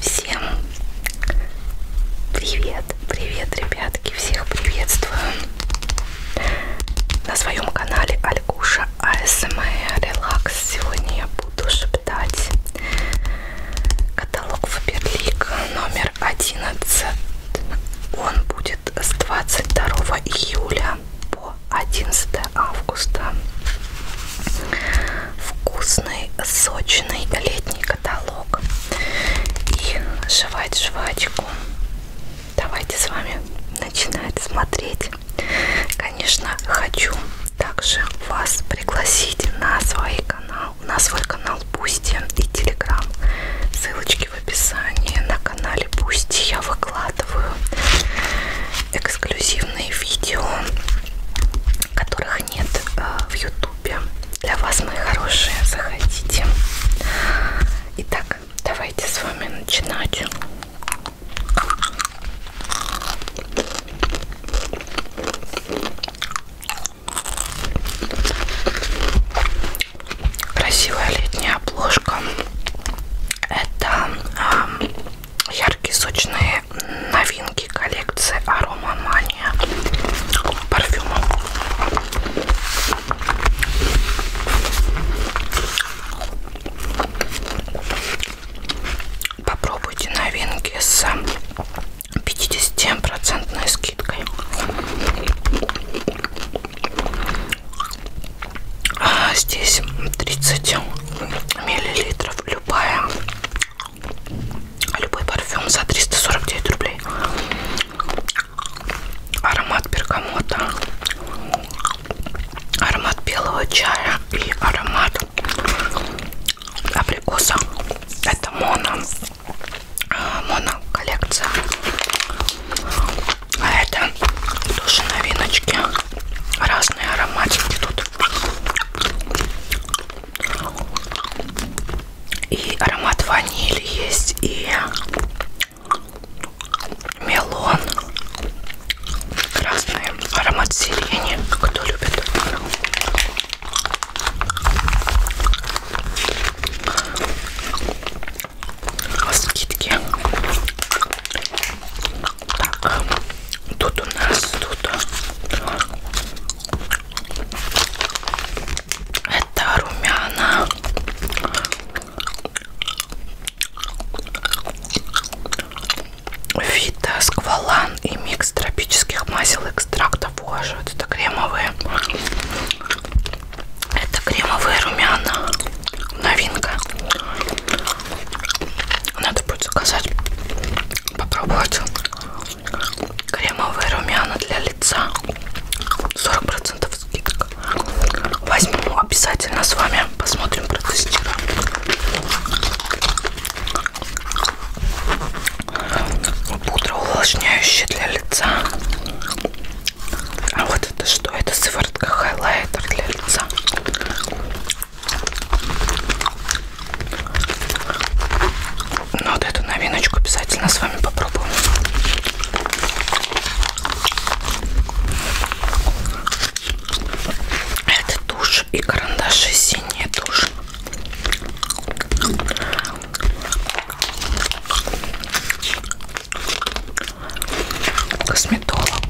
Всем привет, привет, ребятки, всех приветствую на своем канале Алькуша АСМР Релакс. Сегодня я буду шептать каталог Фаберлик номер 11. Он будет с 22 июля по 11 августа. Вкусный, сочный летний каталог. И жевать жвачку. Давайте с вами начинать смотреть. Конечно, хочу также вас пригласить на свой канал, на свой канал Пусти и Телеграм. Ссылочки в описании. На канале Пусти я выкладываю эксклюзивные видео, которых нет э, в Ютубе. Для вас, мои хорошие, заходите. Итак, давайте с вами начинать. Красивая летняя обложка. Это э, яркие сочные новинки коллекции Aroma Mania парфюма. Попробуйте новинки с 50% скидкой. А, здесь 30 миллилитров любая любой парфюм за 349 рублей аромат бергамота аромат белого чая и аромат абрикоса это моно а, моно коллекция а это тоже новиночки разные ароматики тут и аромат ванили есть, и мелон, красный аромат сирени, кто любит. Скидки так, тут у нас тут это румяна. Вита, сквалан и микс тропических масел экстрактов кожи. Вот это кремовые. Это кремовые румяна. Новинка. Надо будет заказать, попробовать кремовые румяна для лица. 40% скидка. Возьму обязательно с вами. Посмотрим, протестируем. Пудра увлажняющая для лица. А вот это что? Это сыворотка хайлайтер для лица. Но ну, вот эту новиночку обязательно с вами попробуем. Это тушь и карандаши синие тушь. Косметолога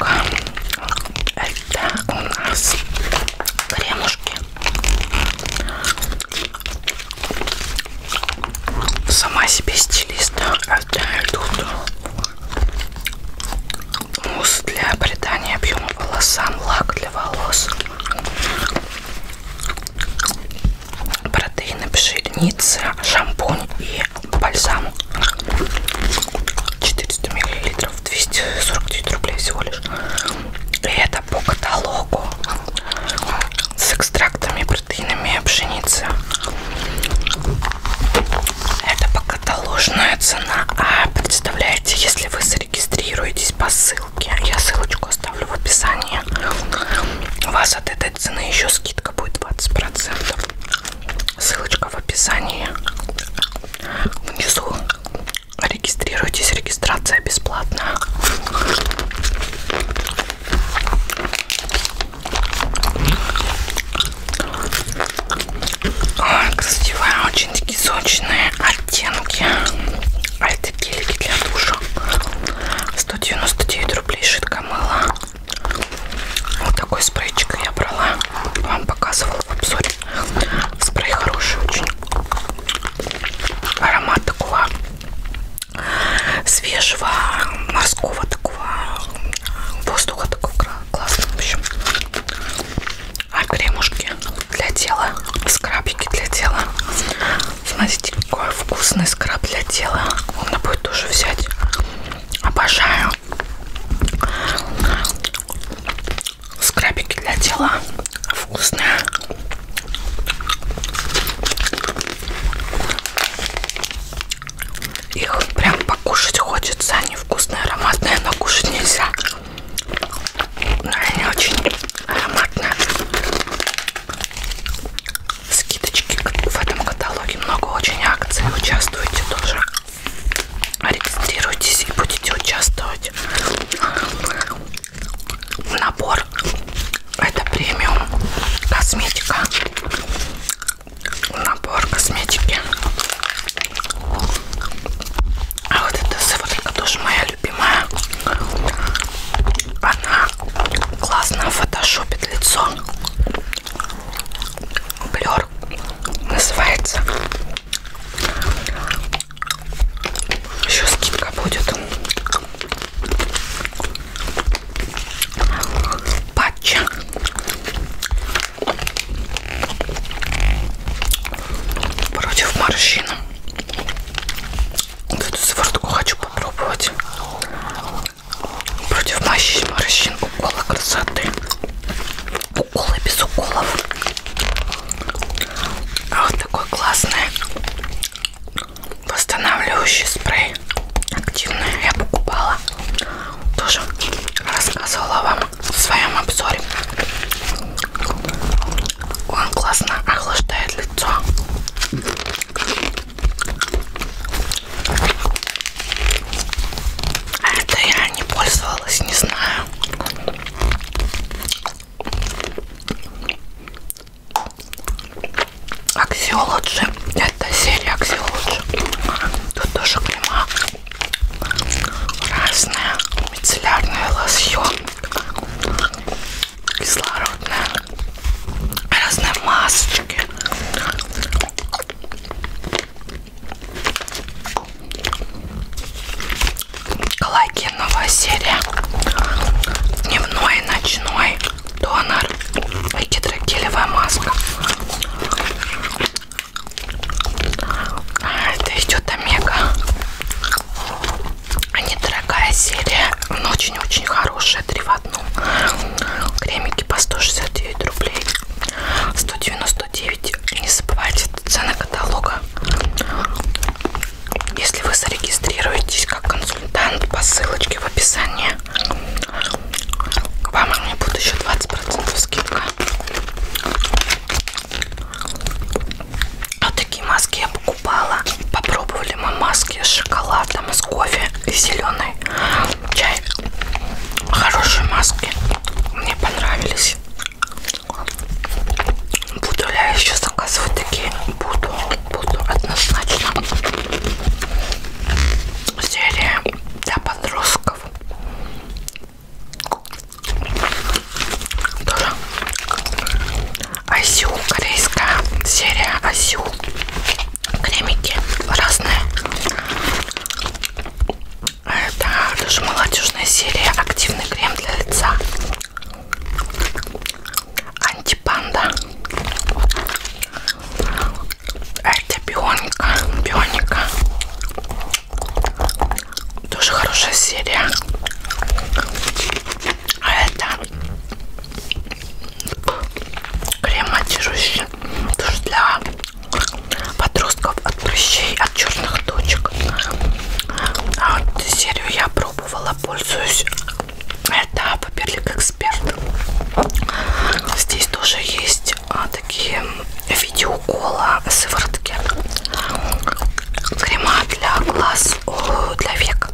да, у нас кремушки сама себе стилист отдаю тут мусс для придания объема волосам лак для волос протеины пшеницы шампунь и бальзам 400 миллилитров 249 рублей всего лишь и это по каталогу с экстрактами протеинами пшеницы это по каталожная цена а представляете если вы зарегистрируетесь по ссылке я ссылочку оставлю в описании у вас от этой цены еще скидка будет 20 процентов Ссылочка в описании внизу. Регистрируйтесь, регистрация бесплатная. Ой, красивые, очень такие сочные оттенки. А это гелики для душа. 199 рублей шитка мыла. Вот такой спрейчик я брала вам показывала в обзоре. Спрей хороший очень. Аромат такого свежего, морского такого, воздуха такого классного. В общем, а кремушки для тела, скрабики для тела. Смотрите, какой вкусный скраб для тела. Можно будет тоже взять. Обожаю. Скрабики для тела вкусные. Их прям покушать хочется. Они вкусные, ароматные, но кушать нельзя. Но они очень ароматные. Скидочки в этом каталоге много очень акций. Участвуйте тоже регистрируйтесь и будете участвовать набор это премиум косметика набор косметики а вот эта сыворотка тоже моя любимая она классно фотошопит лицо блер набор называется еще скидка будет патча против морщин вот эту сыворотку хочу попробовать против морщин укола красоты уколы без уколов. А вот такой классный восстанавливающий спрей активный я покупала. Тоже рассказывала вам в своем обзоре. Он классно охлаждает лицо. Это я не пользовалась, не знаю. Аксиолоджи. Это серия Аксиолоджи. Тут тоже крема. Разная. Мицеллярная лосьон. Кислородная. Разные масочки. Лаки новая серия Дневной и ночной Донор и гидрогелевая маска а, Это идет омега а, Недорогая серия Но очень-очень хорошая Три в одном Кремики по 169 рублей 199 не забывайте цены каталога если вы зарегистрируетесь как консультант по ссылочке в описании к вам мне будет еще 20% скидка вот такие маски я покупала попробовали мы маски с шоколадом с кофе и зеленый чай хорошие маски. Мне понравились. Буду ли я еще заказывать такие? Буду, буду однозначно. Серия для подростков. Тоже Асю, корейская серия Асю кремики разные. Это тоже молодежная серия активный крем для лица. Антипанда. Это бионика. Бионика. Тоже хорошая серия. А это крем матирующий. Тоже для подростков от прыщей, от черных точек. А вот серию я пробовала, пользуюсь. Это Паперлик Эксперт. Здесь тоже есть а, такие видеоукола, сыворотки, крема для глаз, для век.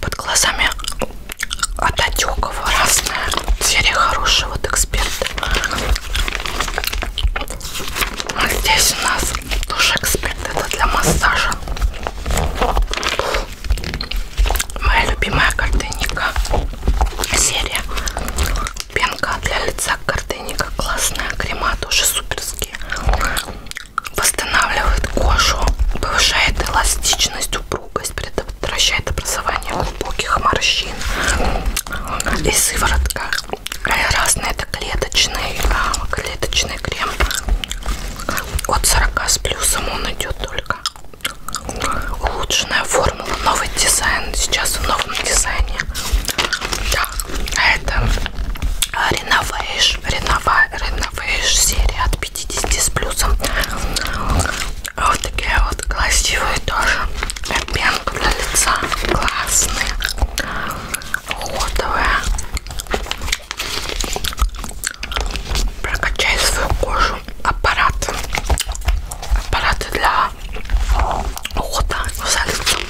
Под глазами от отеков разная серия хорошая вот эксперт а здесь у нас тоже эксперт это для массажа моя любимая картинника серия пенка для лица картинника классная крема тоже суперские восстанавливает кожу повышает эластичность упругость, предотвращает образование глубоких морщин и сыворотка. Разные это клеточный, а, клеточный крем от 40 с плюсом он идет только. Улучшенная формула, новый дизайн, сейчас в новом дизайне. Да, а это а, Renovation, Renovation серия от 50 с плюсом. Вот такие вот красивые тоже. Пенка для лица. Классные. Уходовые. Прокачай свою кожу. Аппарат. Аппараты для ухода за лицом.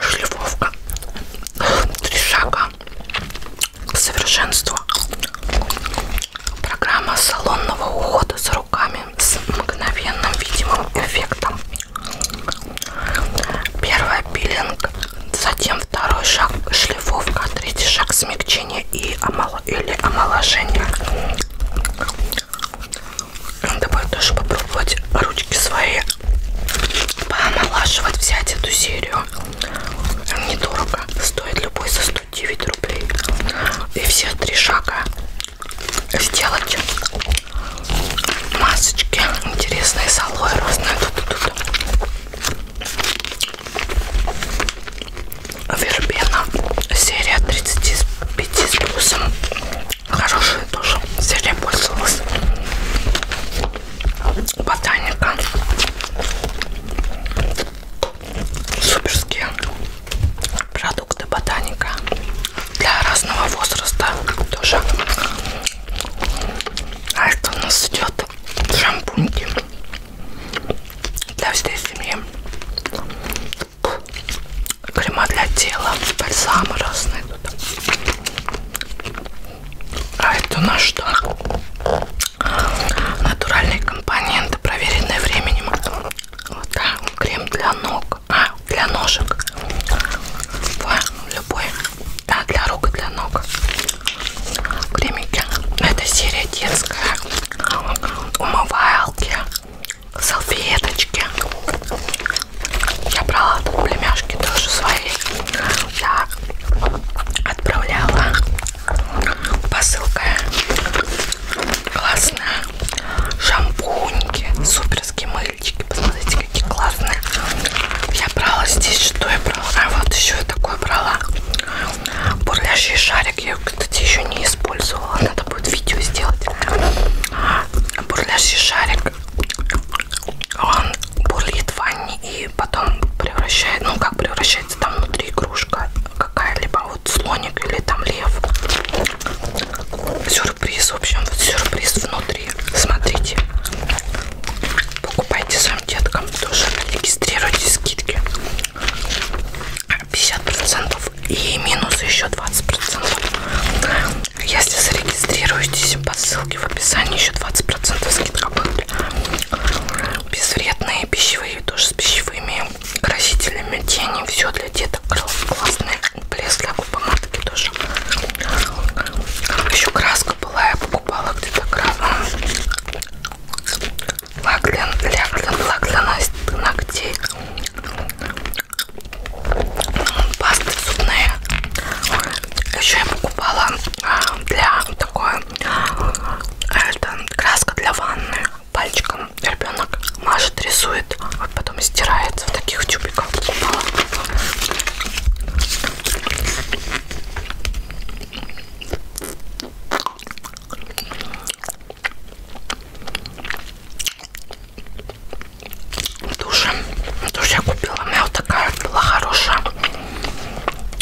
Шлифовка. Три шага совершенство. Программа салонного ухода за руками с мгновенным видимым эффектом. Первое пилинг, затем второй шаг шлифовка, третий шаг смягчение и омоло... или омоложение. Давай тоже попробовать ручки свои поомолаживать, взять эту серию. Недорого, стоит любой за 100 9 рублей и все три шага сделать масочки интересные с алоэ разные тут, тут, тут. вербена серия 35 с плюсом хорошая тоже серия пользовалась ботаника суперские продукты ботаника для разного возраста тоже. А это у нас идет шампуньки для всей семьи. Крема для тела, бальзамы разные тут. А это у нас что? натуральные компоненты, проверенные временем. Вот так, крем для ног, а, для ножек. Любой, любой. Да, для рук и для ног. Кремики. Это серия детская. Умывалки, салфеточки. Я брала тут племяшки тоже свои. Так, отправляла Посылка классная. Шампуньки, суперские мыльчики. Посмотрите, какие классные. Я брала здесь, что я брала? А вот еще я такое брала. Бурлящий шарик. Я, кстати, еще не использовала. Надо будет видео сделать. Бурлящий шарик. Он бурлит в ванне и и потом превращает, ну как превращается там внутри игрушка какая-либо, а вот слоник или там лев. Сюрприз, в общем, вот сюрприз внутри. Смотрите. Покупайте своим деткам тоже. Регистрируйте скидки. 50% и минус еще 20%. Если зарегистрируетесь по ссылке в описании, еще 20% скидка будет соль, безвредные пищевые, тоже с пищевыми красителями, тени, все для деток классные, блеск для помадки тоже. Еще краска была, я покупала где-то краску. Лак для, для, для, лак для ногтей. Пасты зубные. Еще я покупала а, для такое Э, это краска для ванны. Пальчиком ребенок мажет, рисует, а потом стирается в таких тюбиках. Тушь. Тушь я купила. У меня вот такая была хорошая.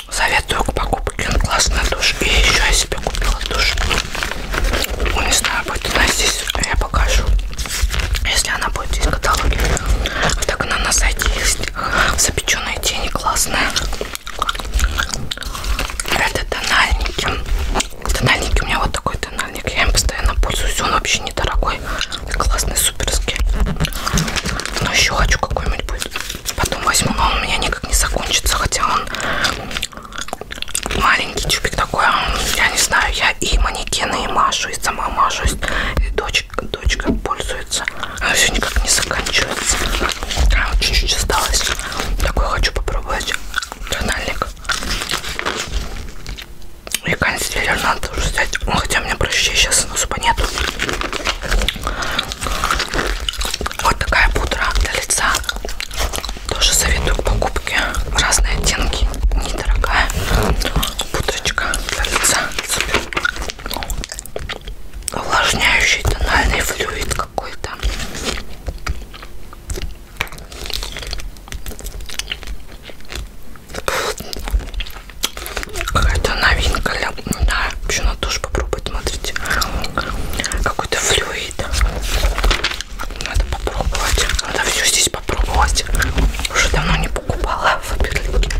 Советую к покупке, он классный душ. И еще я себе купила душ. Ну, не знаю, будет она здесь, я покажу. Если она будет здесь в каталоге. А так она на сайте есть. Запеченные тени классные. Это тональники. Тональники у меня вот такой тональник. Я им постоянно пользуюсь. Он вообще недорогой. Классный, суперский. Но еще хочу какой-нибудь будет. Потом возьму, но он у меня никак не закончится, хотя он маленький тюбик такой. А я не знаю, я и манекены, и машу, и сама мажусь. И дочка, дочка пользуется. Она все никак не заканчивается. А, чуть-чуть осталось. Такой хочу попробовать. Тональник. И консилер надо тоже взять. Хотя у меня прыщей сейчас на зуба нету. Вот такая пудра для лица. Тоже советую к покупке. Разные оттенки. Недорогая пудрочка для лица. Супер. Ну, увлажняющий тональный флюид какой-то. Какая-то новинка для... Да, вообще надо тоже попробовать, смотрите. Какой-то флюид. Надо попробовать. Надо все здесь попробовать. Уже давно не покупала в Аберлике.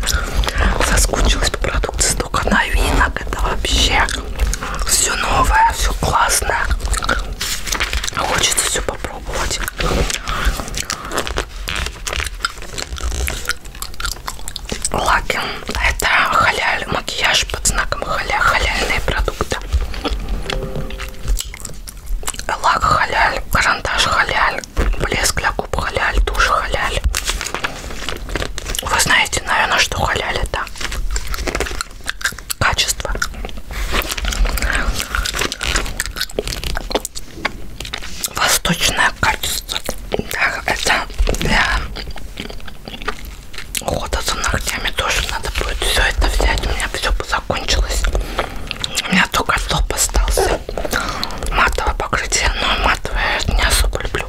Соскучилась по продукции. Столько новинок. Это вообще все новое, все классное. Хочется все попробовать лаки. Это халяль макияж под знаком халя, халяльные продукты. Лак халяль, карандаш халяль, блеск для губ халяль, тушь халяль. Вы знаете, наверное, что халяль это качество. Восточное качество. Так, это для ухода за ногтями тоже надо будет все это взять. У меня все закончилось. У меня только топ остался. Матовое покрытие, но матовое я не особо люблю.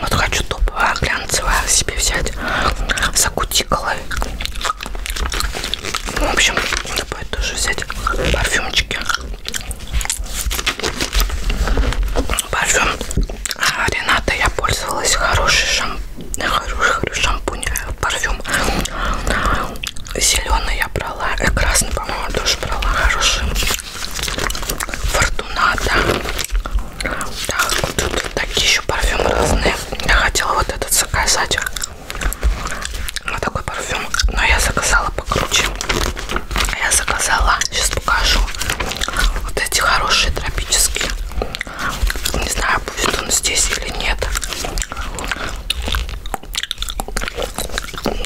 Вот хочу топовое глянцевое себе взять за кутикулой. В общем, надо будет тоже взять парфюмчики. Парфюм а, Рената я пользовалась хороший шампунь. Хороший, хороший шампунь, парфюм. Зеленый я брала, и э, красный, по-моему, тоже брала. Хороший. Фортуната. Так, вот тут такие еще парфюмы разные. Я хотела вот этот заказать. Вот такой парфюм. Но я заказала покруче. А я заказала, сейчас покажу, вот эти хорошие тропические. Не знаю, будет он здесь или нет.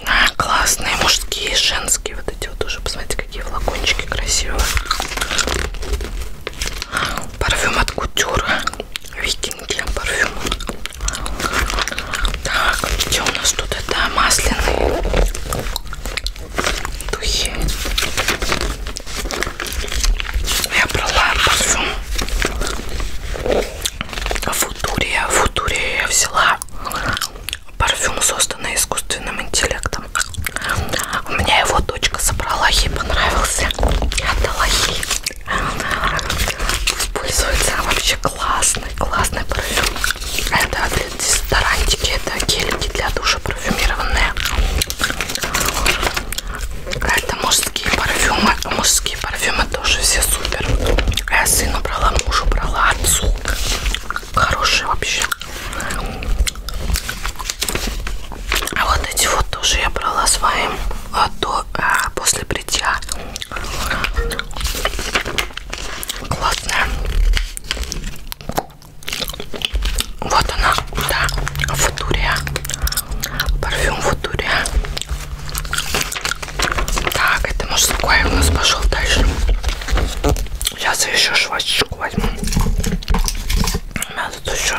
А, классные мужские и женские. Вот эти вот тоже, посмотрите, какие флакончики красивые. Парфюм от Кутюра. Викинги парфюм. Так, где у нас тут это масляные духи? Я брала парфюм Футурия. Футурия я взяла. Парфюм, созданный искусственным интеллектом. У меня его дочка собрала, ей понравился. Я отдала ей. Пользуется вообще классный, классный парфюм. Это от дезодорантики, это гельки для душа парфюмированные. А это мужские парфюмы. Мужские парфюмы тоже все супер. А я сыну брала, мужу брала, отцу. Хорошие вообще. А вот эти вот тоже я брала своим а, до, а, после бритья классная. Вот она, да, Футурия. Парфюм Футурия. Так, это мужской у нас пошел дальше. Сейчас я еще швачечку возьму. У меня тут еще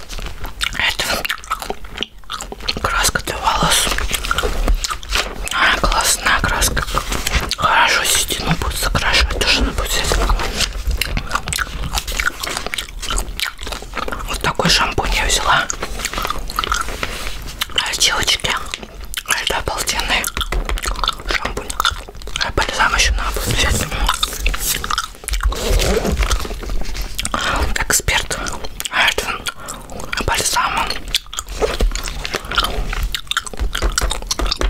это краска для волос. А, классная краска. Хорошо седину будет закрашивать, то что она будет Вот такой шампунь я взяла. Девочки, это обалденный шампунь. А бальзам еще надо будет взять. Эксперт Эдвин бальзама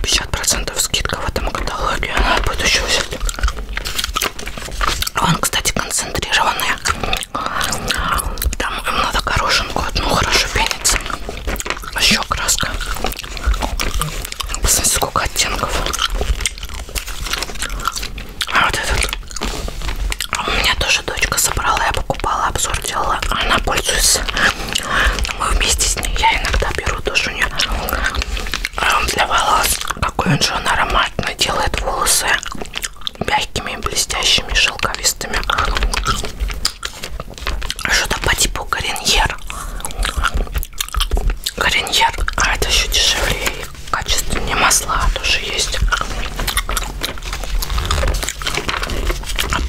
50% скидка в этом каталоге. Она будет еще взять. Он, кстати, концентрированный. Там им надо горошинку одну хорошо пенится. А еще краска. Посмотрите, сколько оттенков. А вот этот. А у меня тоже дочка собрала, я покупала, обзор делала. Она пользуется. Мы вместе с ней. Я иногда беру тоже у нее а для волос. Какой он же он ароматный. Делает волосы мягкими, блестящими, шелковистыми. А что-то по типу кореньер. Гарньер, а это еще дешевле и качественнее масла тоже есть.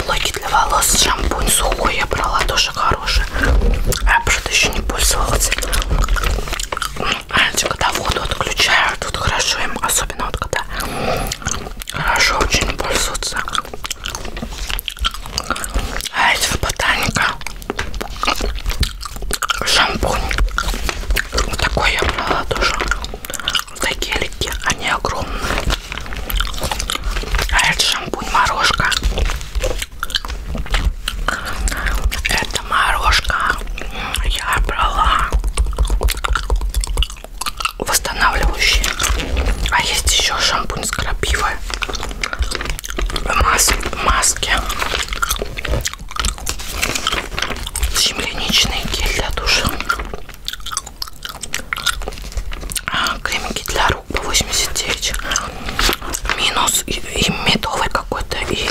Блоки а для волос, шампунь сухой я брала, тоже хороший. А я просто еще не пользовалась. Знаете, когда воду отключаю, а тут хорошо им, особенно вот когда хорошо очень пользоваться. А эти ботаника шампунь. Вот такой я брала тоже. Вот такие гелики, они огромные. А это шампунь морожка. Это морожка. Я брала восстанавливающие. А есть еще шампунь с крапивой мас маски. Земляничный гель для душа. А, кремики для рук по 89. Минус и, и медовый какой-то и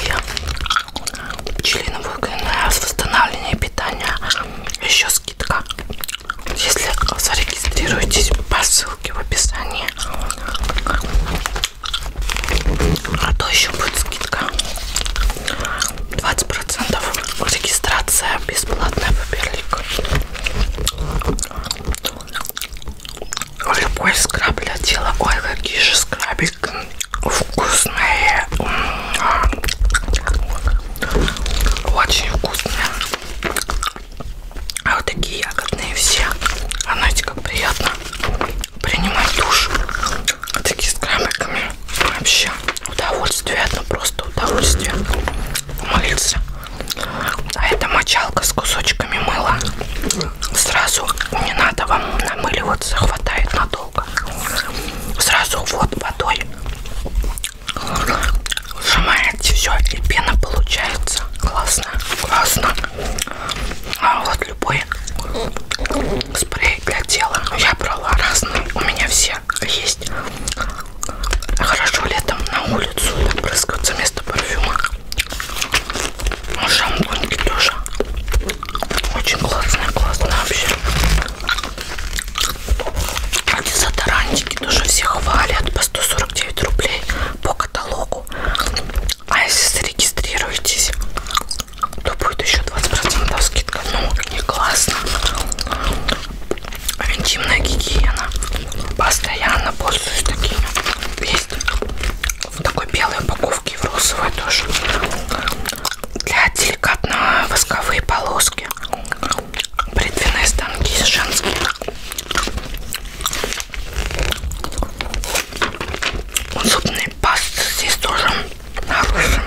пчелиновый ГНС. Восстановление питания. Еще скидка. Если зарегистрируетесь по ссылке в описании. А то еще будет скидка 20%. Регистрация бесплатная паперлик. Любой скраб для тела. Ой, какие же скрабик вкусные. Очень вкусные. А вот такие ягодные все. А знаете, как приятно принимать душ. Вот такие с крабиками. Вообще удовольствие. Это просто удовольствие. Мыльца. А это мочалка с кусочками мыла. Сразу не надо вам намыливаться. Хватает надолго. Сразу вот водой. Сжимаете все, и пена получается. Классно, классно. А вот любой спрей для тела. Ну, я брала разные. У меня все есть. Хорошо летом на улицу да, прыскаться вместо парфюма. Ну, шампуньки тоже. Очень классные, классные вообще. А дезодорантики тоже все хвалят по 149 рублей по каталогу. А если зарегистрируетесь, то будет еще 20% скидка. Ну, не классно. Интимная гигиена. Постоянно пользуюсь такими. Есть в такой белой упаковке, в розовой тоже. Для деликатно восковые полоски. Бритвенные станки женские. Зубные пасты здесь тоже хорошие.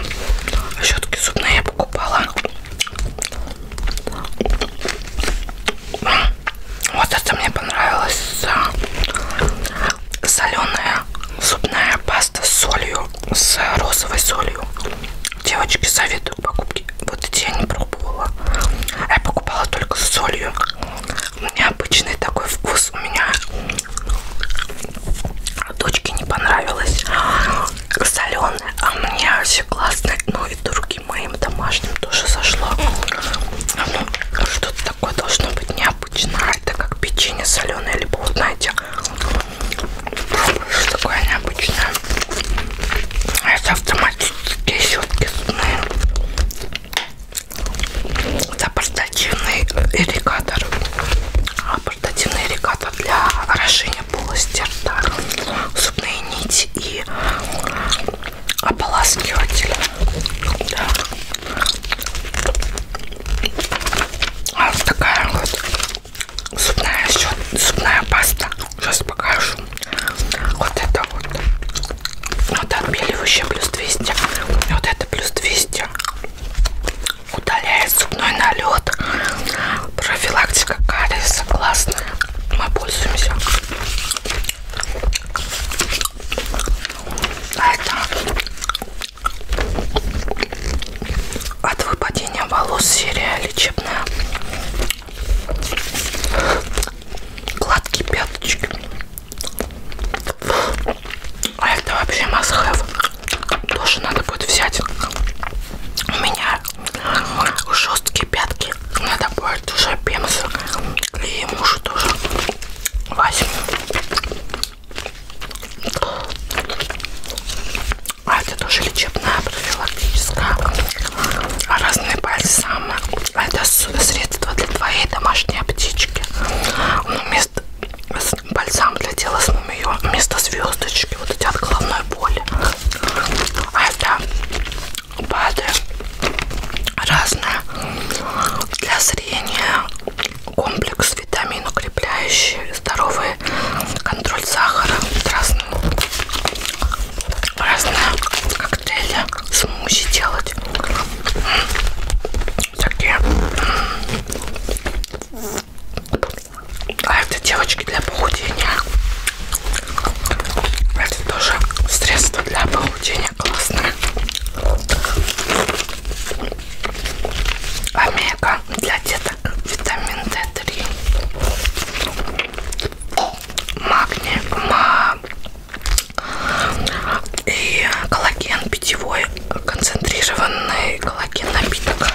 Щетки зубные я покупала. Вот это мне понравилось. Соленая зубная паста с солью, с розовой солью. Девочки, советую покупки. Вот эти я не пробовала. Я покупала только с солью необычный такой вкус у меня дочке не понравилось соленое а мне все классно ну и другим моим домашним тоже зашло ну, что-то такое должно быть необычное это как печенье соленое либо вот знаете пробуешь такое необычное а это автоматические щетки зубные это портативный ирригатор. Портативный ирригатор для орошения полости рта, зубные нити и ополаскиватель. Да. А вот такая вот зубная, зубная паста. Сейчас покажу. Вот это вот. Вот отбеливающее плюс 200. Вот это плюс 200. Удаляет зубной налет. Профилактика кариеса. Классно. Мы пользуемся. А это от выпадения волос серия лечебная гладкие пяточки. А это вообще must have. Тоже надо будет взять. У меня жесткие пятки. Надо будет уже пемс. И мужу тоже возьму. А это тоже лечебная профилактическая а разные бальзамы. Это средство для твоей домашней аптечки. Ну, вместо бальзам для тела с мумиё, вместо звездочки, вот эти от головной боли. А это БАДы разные для зрения, комплекс витамин укрепляющий, здоровый контроль сахара, красный разные коктейли, смузи делать. Такие. А это девочки для похудения. Это тоже средство для похудения классное. Омега для деток витамин D3. Магний, ма, и коллаген питьевой, концентрированный коллаген напиток.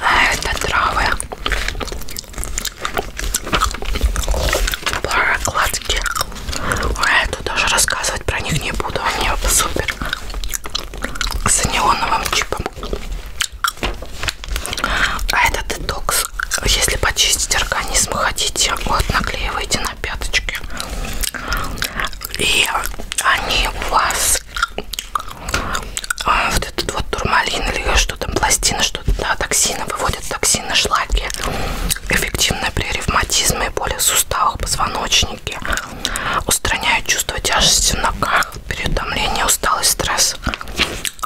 А это травы. Прокладки. А это даже рассказывать про них не буду. Они супер. С анионовым чипом. А это детокс если почистить организм хотите, вот наклеиваете на пяточки. И они у вас а, вот этот вот турмалин или что там, пластина, что-то, да, токсины, выводят токсины, шлаки. Эффективно при ревматизме и боли в суставах, позвоночнике. Устраняют чувство тяжести в ногах, переутомление, усталость, стресс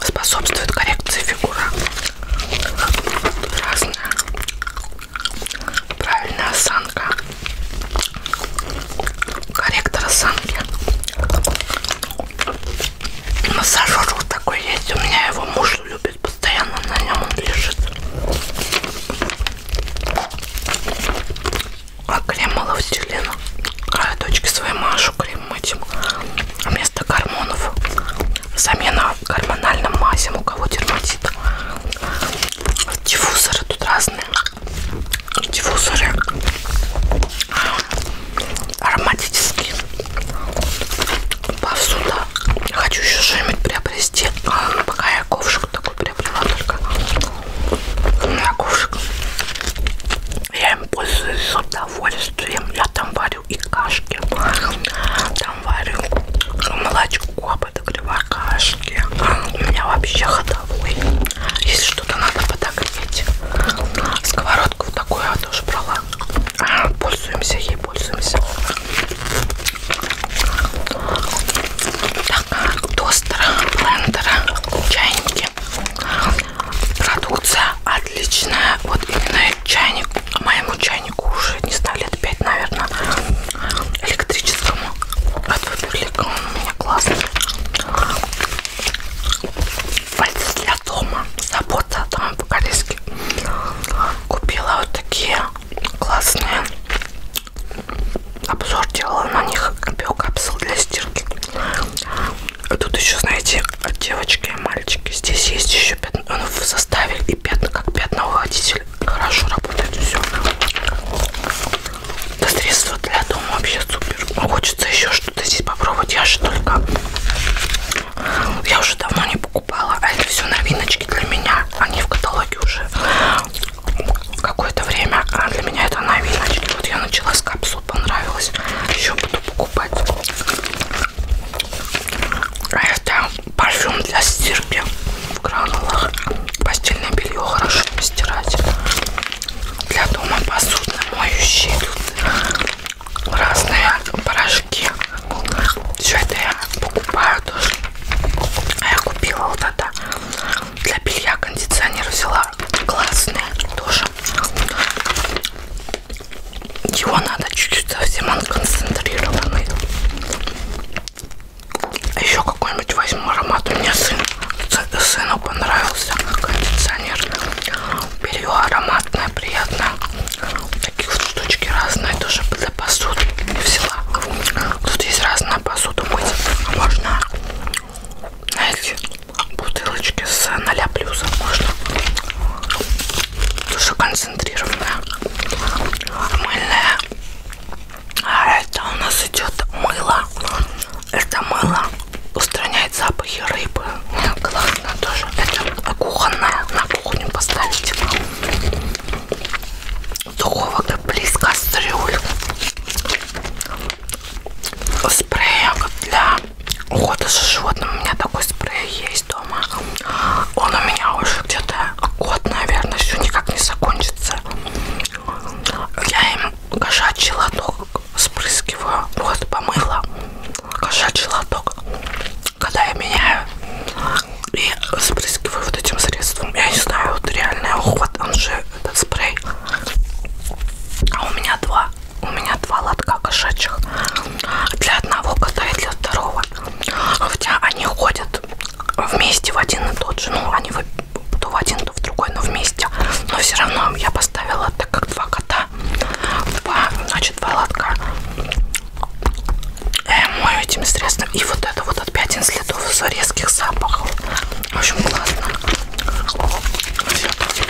способствует коррекции фигуры. Разная правильная осанка, корректор осанки. Массажер вот такой есть, у меня его муж любит, постоянно на нем он лежит. А крем маловтелина. Края дочке своей Машу крем этим. А вместо гормонов замена гормональным мазям, у кого дерматит. Диффузоры тут разные. Диффузоры ароматические. Повсюду. Хочу еще что-нибудь приобрести. Пока я ковшик такой приобрела только. У меня ковшик. Я им пользуюсь с удовольствием. Я там варю варю и кашки. Там варю молочко, подогреваю кашки. У меня вообще ходовой. Если что-то надо подогреть. Сковородку такую я тоже брала. Пользуемся ей, пользуемся. Так, тостера, блендера, чайники. Продукция отличная. Вот именно чайник, а моему чайнику уже не знаю, лет 5, наверное, электрическому. От Фаберлика он у меня классный. Пальцы для дома. Забота о доме по-корейски. Купила вот такие классные. Обзор делала на них биокапсул для стирки. А тут еще, знаете, девочки и мальчики. Здесь есть еще пятна. Ну, в составе и пятна, как пятновыводитель. Хорошо работает все. Это средство для дома вообще супер. Но ну, хочется еще что-то здесь попробовать. Я же только... Я уже давно не покупала. А это все новиночки для меня. Они в каталоге уже какое-то время. А для меня это новиночки. Вот я начала с капсул, понравилось. Еще буду покупать. А это парфюм для стирки в гранулах. Постельное белье хорошо постирать. Для дома посудно моющие тут разные порошки. Все это я покупаю тоже. А я купила вот это для белья кондиционер взяла классные тоже. Чего надо? Чуть-чуть совсем он концентрированный. А Еще какой-нибудь возьму аромат. У меня сын, сыну понравился кондиционер. Беру ароматное, приятное. Такие вот штучки разные, тоже для посуды и взяла. Тут есть разная посуда мыть. А можно, знаете, бутылочки с 0 плюсом можно тоже концентрированная мыльная а это у нас идет мыло это мыло устраняет запахи рыбы классно тоже это кухонная на кухню поставить духовок близ кастрюль спрея для о, даже с животным у меня такой спрей есть дома. Он у меня уже где-то год, наверное, все никак не закончится. Я им кошачий лоток спрыскиваю, вот помыла кошачий лоток, когда я меняю и спрыскиваю вот этим средством. Я не знаю, вот реальный уход, он же этот спрей. А у меня два лотка. У меня два лотка кошачьих. Для одного кота и для второго. Хотя они ходят вместе в один и тот же. Ну, они то в один, то в другой, но вместе. Но все равно я поставила, так как два кота. Два, значит, два лотка. Я э, мою этим средством. И вот это вот от пятен следов резких запахов. В общем, классно.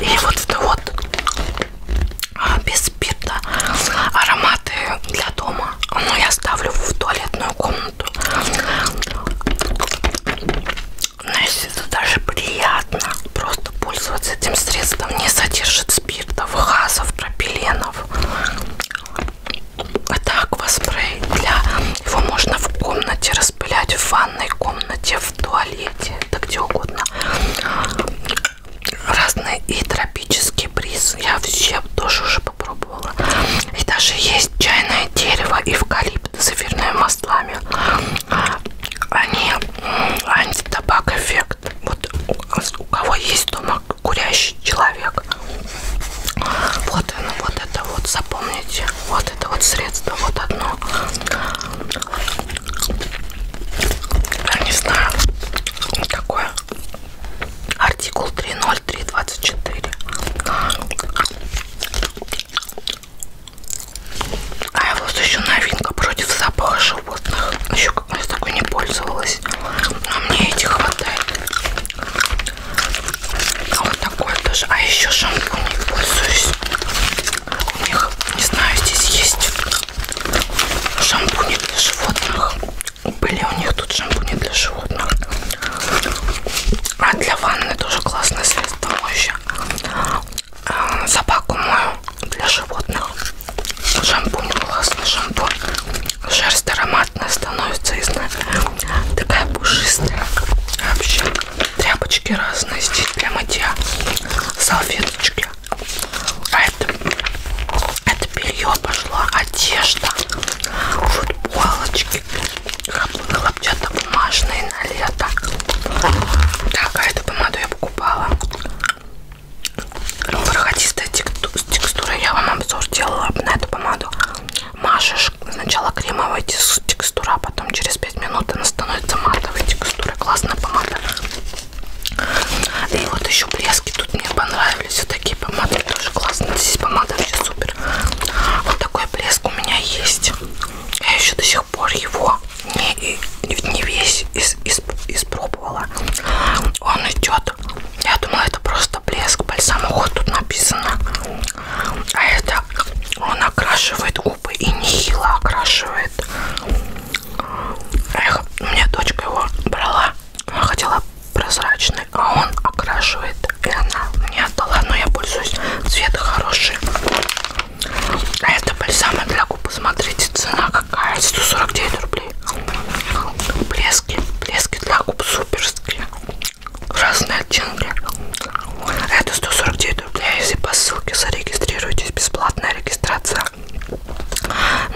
И вот это вот а, без спирта ароматы для дома но ну, я ставлю в туалетную комнату но если это даже приятно просто пользоваться этим средством не содержит спиртов газов пропиленов это а акваспрей для его можно в комнате распылять в ванной комнате в туалете туалете, да где угодно. Разные и тропический бриз. Я все тоже уже попробовала. И даже есть чайное дерево, эвкалипт с эфирными маслами. Они антитабак эффект. Вот у кого есть дома курящий человек. Вот оно, ну, вот это вот, запомните. Вот это вот средство, вот одно. Я не знаю, какой артикул 30324. А я вот еще новинка против запаха животных. Еще как раз такой не пользовалась. Но а мне эти хватает. А вот такой тоже. А еще шампунь не пользуюсь у них, не знаю, здесь есть шампуни для животных. Были у них тут шампуни для животных. А для ванны тоже классное средство моющее. А, собаку мою для животных. Шампунь, классный шампунь. Шерсть ароматная становится, из такая пушистая. Вообще тряпочки разные здесь для мытья, салфеточки белье. А это, это белье пошла одежда, футболочки, хлопчатобумажные на лето. Так, а эту помаду я покупала. Бархатистая ну, текстура. Я вам обзор делала на эту помаду. Машешь сначала кремовая текстура, а потом через 5 минут она становится матовой. Текстура классная помада. И вот еще блески тут мне понравились. Вот такие помады тоже классные. Здесь помада вообще супер. Вот такой блеск у меня есть. Я еще до сих пор его не, не весь из, из, испробовала. Он идет. Я думала, это просто блеск. Бальсамоход а тут написано. А это он окрашивает губы и нехило окрашивает. Эх, у меня дочка его брала. Она хотела прозрачный, а он окрашивает. И она мне отдала, но я пользуюсь. Цвет хороший. А это бальзамы для губ. Посмотрите, цена какая. 149 рублей. Блески. Блески для губ суперские. Разные оттенки. Это 149 рублей. Если по ссылке зарегистрируйтесь, бесплатная регистрация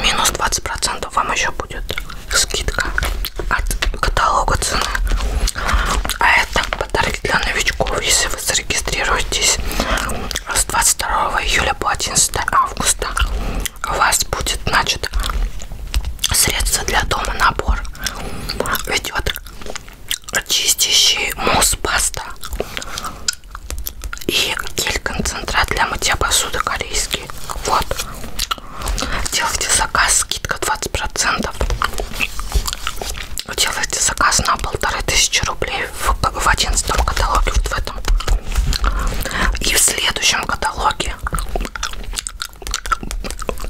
минус 20 процентов вам еще будет скидка от каталога цены а это подарки для новичков если вы зарегистрируетесь с 22 июля по 11 августа у вас будет значит средство для дома набор ведет чистящий мусс паста и гель-концентрат для мытья посуды корейский. Вот. Делайте заказ, скидка 20%. Делайте заказ на полторы тысячи рублей в одиннадцатом каталоге, вот в этом. И в следующем каталоге,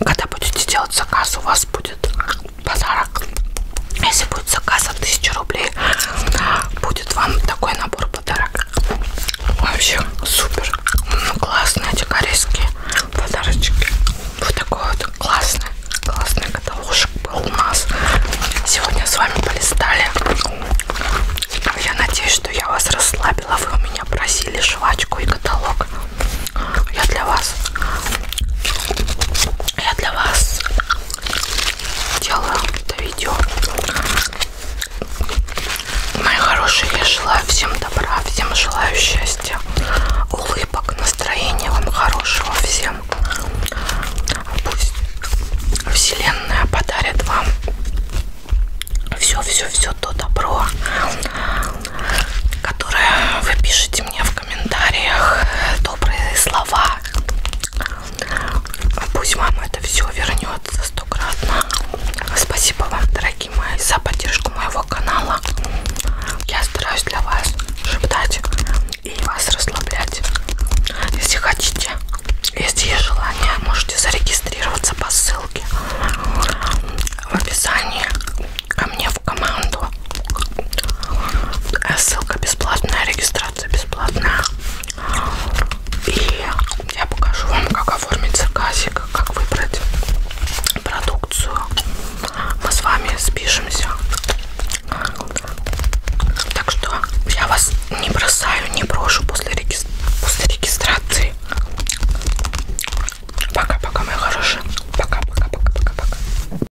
когда будете делать заказ, у вас будет подарок. Если будет заказ от 1000 рублей, будет вам такой набор подарок. Вообще супер. Ну, классные эти корейские подарочки. Вот такой вот классный, классный каталожек был у нас. Сегодня с вами полистали. Я надеюсь, что я вас расслабила. Вы у меня просили жвачку и каталог. Я для вас я для вас делаю это видео. Мои хорошие, я желаю всем добра, всем желаю счастья, улыбок, настроения вам хорошего всем. Пусть Вселенная подарит вам все-все-все то добро, которое вы пишете мне в комментариях добрые слова. Пусть вам это все вернется стократно. Спасибо вам, дорогие мои, за поддержку моего канала. Я стараюсь для вас шептать и вас расслаблять. Если хотите, если есть желание, можете зарегистрироваться по ссылке в описании ко мне в команду. Э, ссылка бесплатная, регистрация бесплатная. И я покажу вам, как оформить заказик, как выбрать продукцию. Мы с вами спишемся. Так что я вас не бросаю, не брошу после, реги... после регистрации. Пока-пока, мои хорошие. Пока-пока-пока-пока-пока.